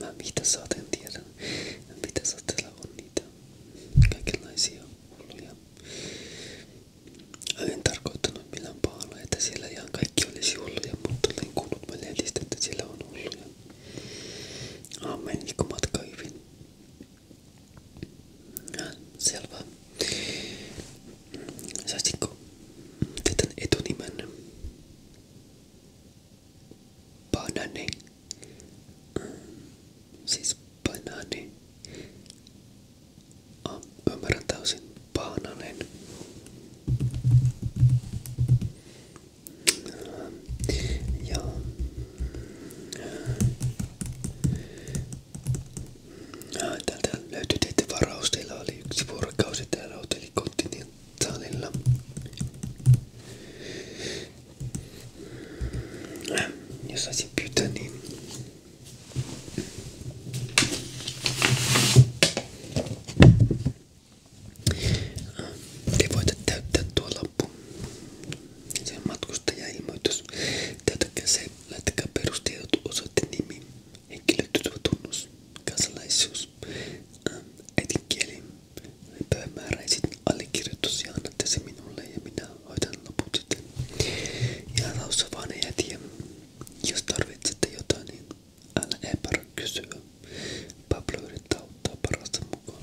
Mä viitassa en tiedä. Mä viitassa täällä on niitä kaikenlaisia hulluja. En tarkoittanut millään pahalla, että siellä ihan kaikki olisi hulluja, mutta olen kuullut lehdistä, että siellä on hulluja. Aamen, kun niinku matka hyvin. Selvä. Saisitko tätä etunimen? Banani. Siis banaani. Ah, ymmärrän täysin. Bananen. Ja... Äh, Täältä löytyi teitä varaus. Teillä oli yksi vuorokausi täällä hotellikontinentaalilla. Jos saisin pyytää, niin... Te voitte täyttää tuo lappu. Se on matkustaja-ilmoitus. Täytäkää se, laittakaa perustiedot, osoite nimi henkilötytötunnus, kansalaisuus, ähm, äidinkieli, päivämäärä ja sitten allekirjoitus ja annatte se minulle ja minä hoitan loput sitten. Ja taussa vaan ei tiedä. Jos tarvitsette jotain, niin älä epärä kysyä. Pablo yrittää auttaa parasta mukaan.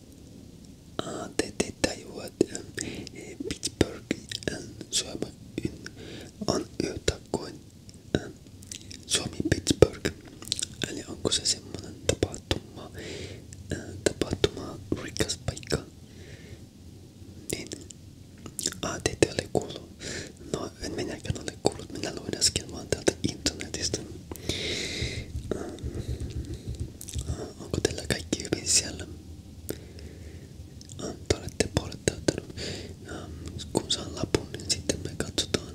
ATT tajuat, eh, Pittsburghin eh, Suomi on yhtäkkoin eh, Suomi-Pittsburgh. Eli onko se semmonen tapahtuma, tapahtuma rikas paikka? Niin. ATT oli kuullut. No en minäkään ole kuullut, minä luin äsken vaan täältä internetistä. Onko teillä kaikki hyvin siellä? Te olette puolet täyttänyt. Kun saan lapun, niin katsotaan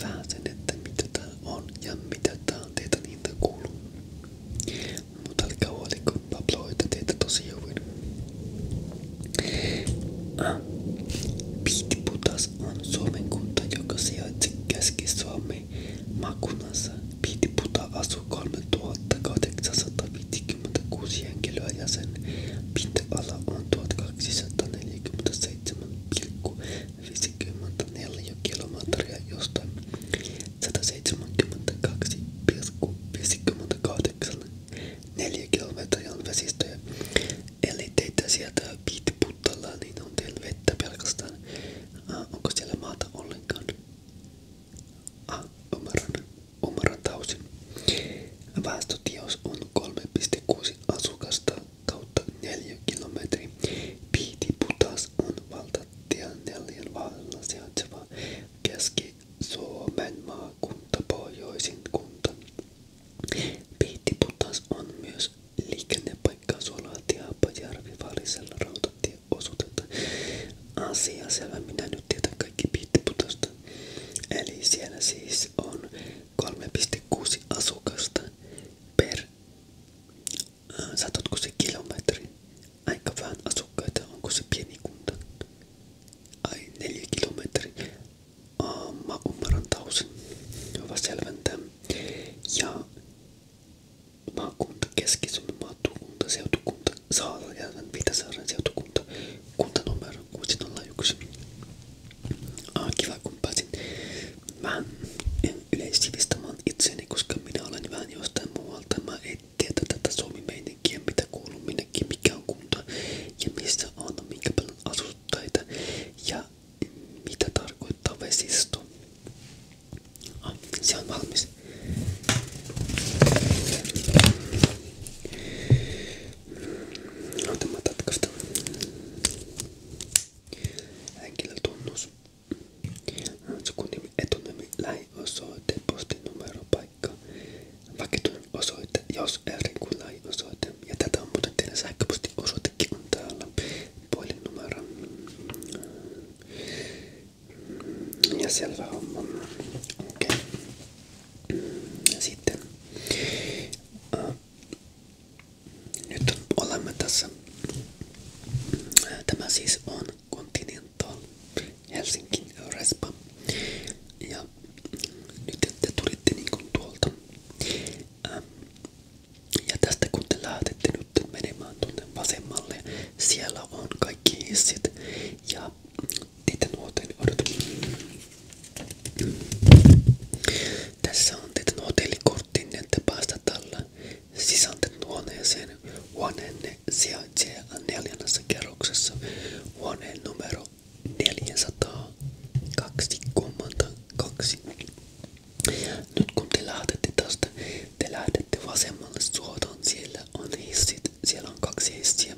vähän sen, mitä täällä on ja mitä täällä on kuuluu. Mutta älkää huoliko, Pablo hoitaa teitä tosi hyvin. on Suomen kunta, joka sijaitsee Suomi makunansa Piitiputa asuu 3856 henkilöä ja sen pinta-ala on 1247,54 kilometriä, josta 172,58 4 kilometriä on vesistöjä. Eli teitä sieltä Piitiputalla, niin on teillä vettä Ah, onko siellä maata ollenkaan? Ah, Omaran, Omaran tausin. Väestötiaus asukasta kautta 4 kilometriä. Piiti putas on valtatien neljän vallalla sijaitseva Keski-Suomen maakunta pohjoisin kunta. Piiti on myös liikennepaikkaa Suolaati ja Haapajärvi välisellä rautatieosuudella. Asia selvä, minä nyt tiedän kaikki piittiputasta. Eli siellä siis on 3,6 asukasta per, äh, satotko se kilometri? Aika vähän asukkaita, onko se pieni kunta? Ai, neljä kilometri. Äh, mä ymmärrän tausin. Hyvä selventää. Ja maakunta, Keski-Suomen maakunta, seutukunta, Saarajärven, Pitäsaaren seutukunta, kuntanumero 601. Ah, kiva kun pääsin vähän yleissivistämään itseäni, koska minä olen vähän jostain muualta. Mä en tiedä tätä suomi-meininkiä, mitä kuuluu minnekin, mikä kunta ja missä on, minkä paljon asuttajia ja mitä tarkoittaa vesisto. Ah, se on valmis. No, tämä tatkasta. Henkilötunnus. Sukunimi, etunimi, lähiosoite, postinumero, paikka, vakituinen osoite, jos eri kuin lähiosoite. Ja tätä on muuten teidän sähköpostiosoitekin on täällä puhelinnumero ja selvä homma. Okei. Okay. Sitten. Uh, nyt olemme tässä. Tämä siis on Continental Helsinki Respa. Ja nyt te tulitte niin tuolta. Uh, ja tästä kun te lähdette nyt menemään tuonne vasemmalle, siellä on kaikki hissit ja niiden nuoteen odotan. Tässä on teidän hotellikorttinne, että päästä tällä sisäänten huoneeseen. Huoneenne sijaitsee neljännessä kerroksessa. Huoneen numero 402,2. Nyt kun te lähdette tästä, te lähdette vasemmalle suotaan. Siellä on hissit, siellä on kaksi hissiä.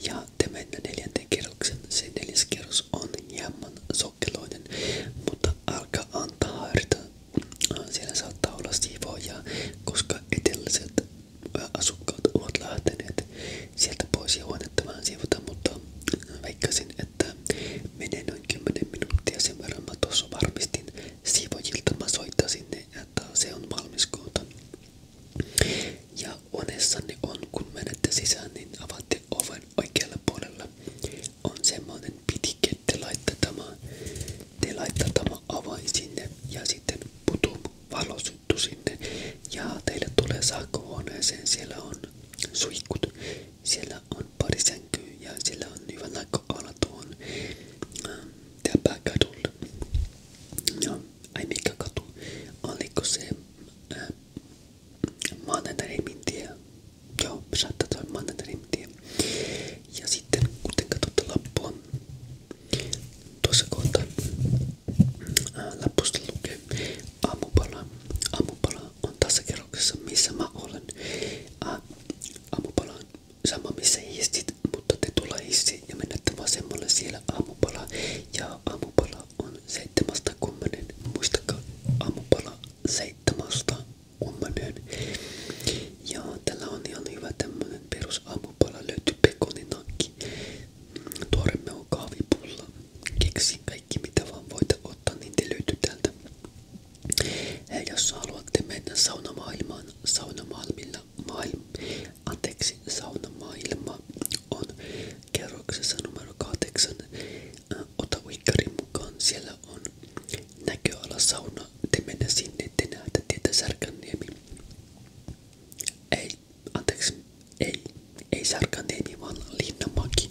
Ja te mennä neljänteen kerroksen. Se neljäs kerros on hieman sokkeloinen, mutta älkää antaa harita. Siellä saattaa olla siivoja, koska eteläiset asukkaat ovat lähteneet sieltä pois ja huonetta vähän siivota, mutta veikkasin, että menee noin 10 minuuttia sen verran mä tuossa varmistin siivojilta, mä soitan sinne, että se on valmis kohta. Ja onessanne on, kun menette sisään, niin oven oikealla puolella. On semmoinen pitike, te laittaa tämä, sinne ja sitten putum valo sinne. Ja teille tulee saakkohuoneeseen, siellä on suihkut. Siellä on pari ja siellä on hyvä näköala tuohon ähm, pääkadulle. No, ai mikä katu, oliko se ää, äh, Joo, saattaa tulla maanantai Ja sitten kuten katsotte lappua, tuossa kohtaa ää, äh, lappusta Aamupala. Aamupala on tässä kerroksessa, missä mä olen. Ä, aamupala on sama, missä hissit, mutta te tulee hissi ja menette vasemmalle siellä aamupala. Ja aamupala on 7.10. Muistakaa aamupala 7.10. Ja tällä on ihan hyvä tämmönen perus aamupala löytyy pekoninakki. Tuore mehu, kahvipulla, keksi kaikki mitä vaan voitte ottaa, niin te löytyy täältä. Ja jos haluatte mennä saunamaailmaan, saunamaailmilla, maailma, anteeksi, saunamaailma on kerroksessa numero 8. Äh, ota uikkarin mukaan, siellä on näköala sauna, te mennä sinne, te näette tietä Särkänniemi. Ei anteeksi, ei, ei Särkänniemi, vaan Linnanmäki.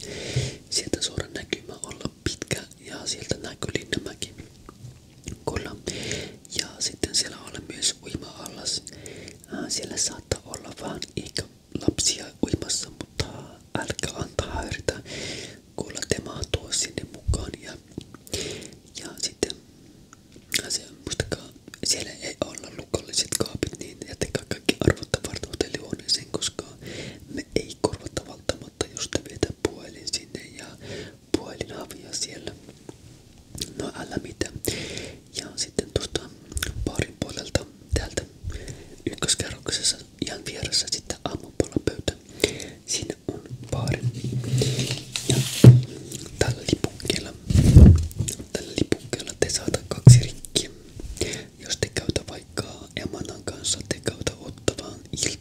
Sieltä suora näkymä olla pitkä ja sieltä näkyy Linnanmäki. Kyllä. Ja sitten siellä on myös uima-allas. Äh, siellä saattaa olla vaan eikä lapsia uimassa, mutta älkää antaa häiritä. Kyllä te mahtuu sinne mukaan. Ja, ja sitten asia. Muistakaa, siellä ei olla lukolliset kaapit, niin jättäkää kaikki arvotta varten hotellihuoneeseen, koska me ei korvata välttämättä, jos te vietään puhelin sinne ja puhelinavia siellä. No älä mitään. Ja sitten tuosta parin puolelta täältä ykköskerroksessa ihan vieressä sitten aamupalapöytä. Siinä on baari. Ja tällä lipukkeella Tällä lipukkeella kaksi rikkiä. Jos te käytä vaikka kanssa, te käytä ottavaan niin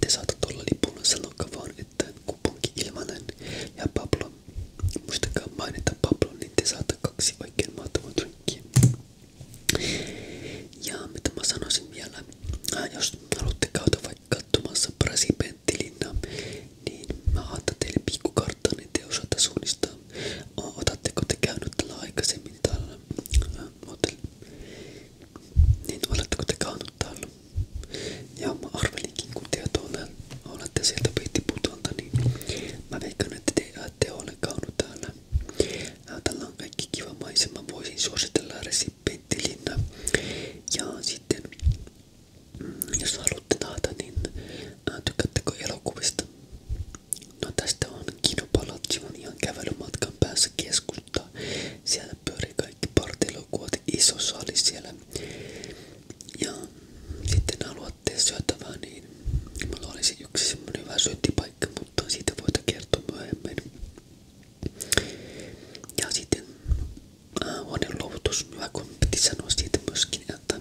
te saata lipulla sanokaa vaan, että kuponki ilmanen ja Pablo. Muistakaa mainita Pablo, niin te kaksi oikein mahtavaa Ja mitä mä sanoisin vielä, jos haluatte käytä vaikka katsomassa Brasipenttilinna, niin mä antan teille pikkukarttainen Otatteko te käynyt tällä aikaisemmin Niin oletteko te käynyt täällä? Ja arvelinkin kun te olette sieltä Pihtiputolta, niin mä veikkaan, te ette ole käynyt täällä. Täällä kiva maisema. Voisin suositella resi Penttilinna. Ja sitten, mm, jos haluatte taata, niin äh, tykättekö elokuvista? No tästä on Kinopalatsi, on ihan kävelymatkan päässä keskustaa. Siellä pyörii kaikki partilokuvat, iso sali siellä. Ja sitten haluatte syötävää, niin mulla olisi yksi semmonen hyvä syöttipaikka, mutta siitä voita kertoa myöhemmin. Ja sitten äh, huoneenluovutus, hyvä kommentti sanoa siitä myöskin, että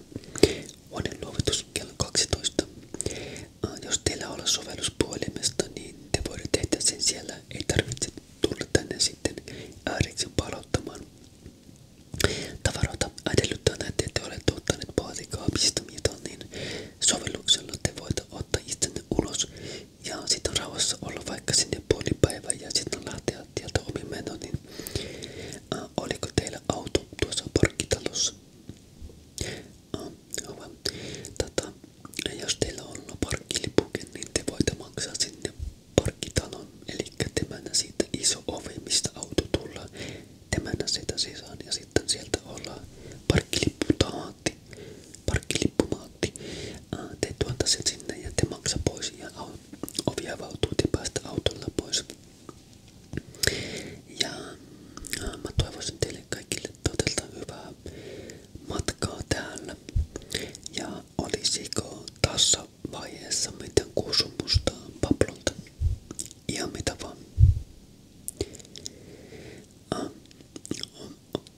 huoneenluovutus kello 12. Äh, jos teillä on sovellus puhelimesta, niin te voitte tehdä sen siellä. Ei tarvitse tulla tänne sitten ääriksi palauttamaan tavaroita. Edellyttää että te olette ottaneet vaatikaapista mitään, niin sovelluksella te voitte ottaa itsenne ulos ja sitten on rauhassa olla vaikka sinne puoli päivää ja sitten lähteä tieltä omiin menoon, niin äh, oliko teillä auto tuossa parkkitalossa? Äh, hyvä. Tata, jos teillä on parkkilipuke, niin te voitte maksaa sinne parkkitalon, eli temänä siitä iso ovi, mistä auto tullaan, temänä sitä sisään ja sitten sieltä ollaan parkkilippu parkkilippumaatti. Parkkilippumaatti. Te tuota sen sinne ja te maksa pois ja ovi avautuu te päästä autolla pois. Ja mä toivoisin teille kaikille todella hyvää matkaa täällä. Ja olisiko tässä vaiheessa mitään kuusumusta Pablolta? Ihan mitä vaan.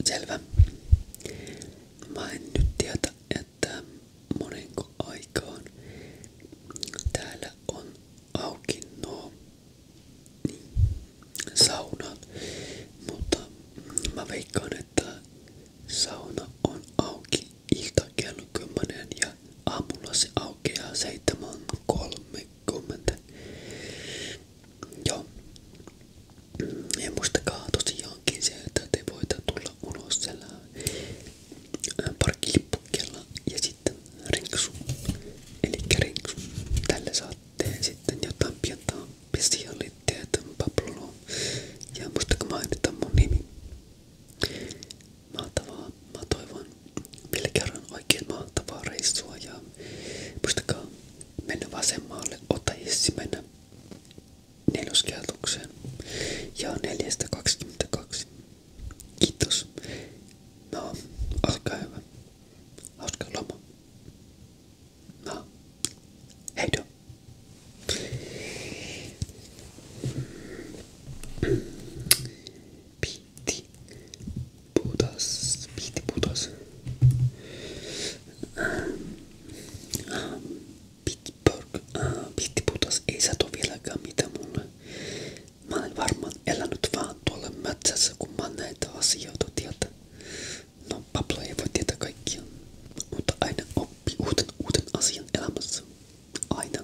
Selvä. Mä en nyt tiedä, että monenko aikaan täällä on auki nuo niin, saunat, mutta mä veikkaan, että sauna on auki kello 10 ja aamulla se aukeaa 7.30. Joo. Ja muistakaa tosiaankin se, että te voitte tulla ulos siellä parkkilippukkeella ja sitten rinksu. Eli rinksu. Tällä saatte sitten jotain pientä spesialiteettä Pablo. Ja muistakaa mainita mun nimi. Mahtavaa. Mä toivon vielä kerran oikein mahtavaa reissua ja muistakaa Mennä vasemmalle, ota hissi mennä neloskerrokseen. Ja 422. Kiitos. No, olkaa hyvä. Hauska loma. No, heido. Piti Buddhas, Piti Buddhas. Pittsburgh, ah, Piti Buddhas ei sato vieläkään mitä mulle. Mä olen varmaan elänyt vaan tuolla mätsässä, kun mä näitä asioita tietä. No, Pablo ei voi tietää kaikkia, mutta aina oppii uuden, uuden asian elämässä. Aina.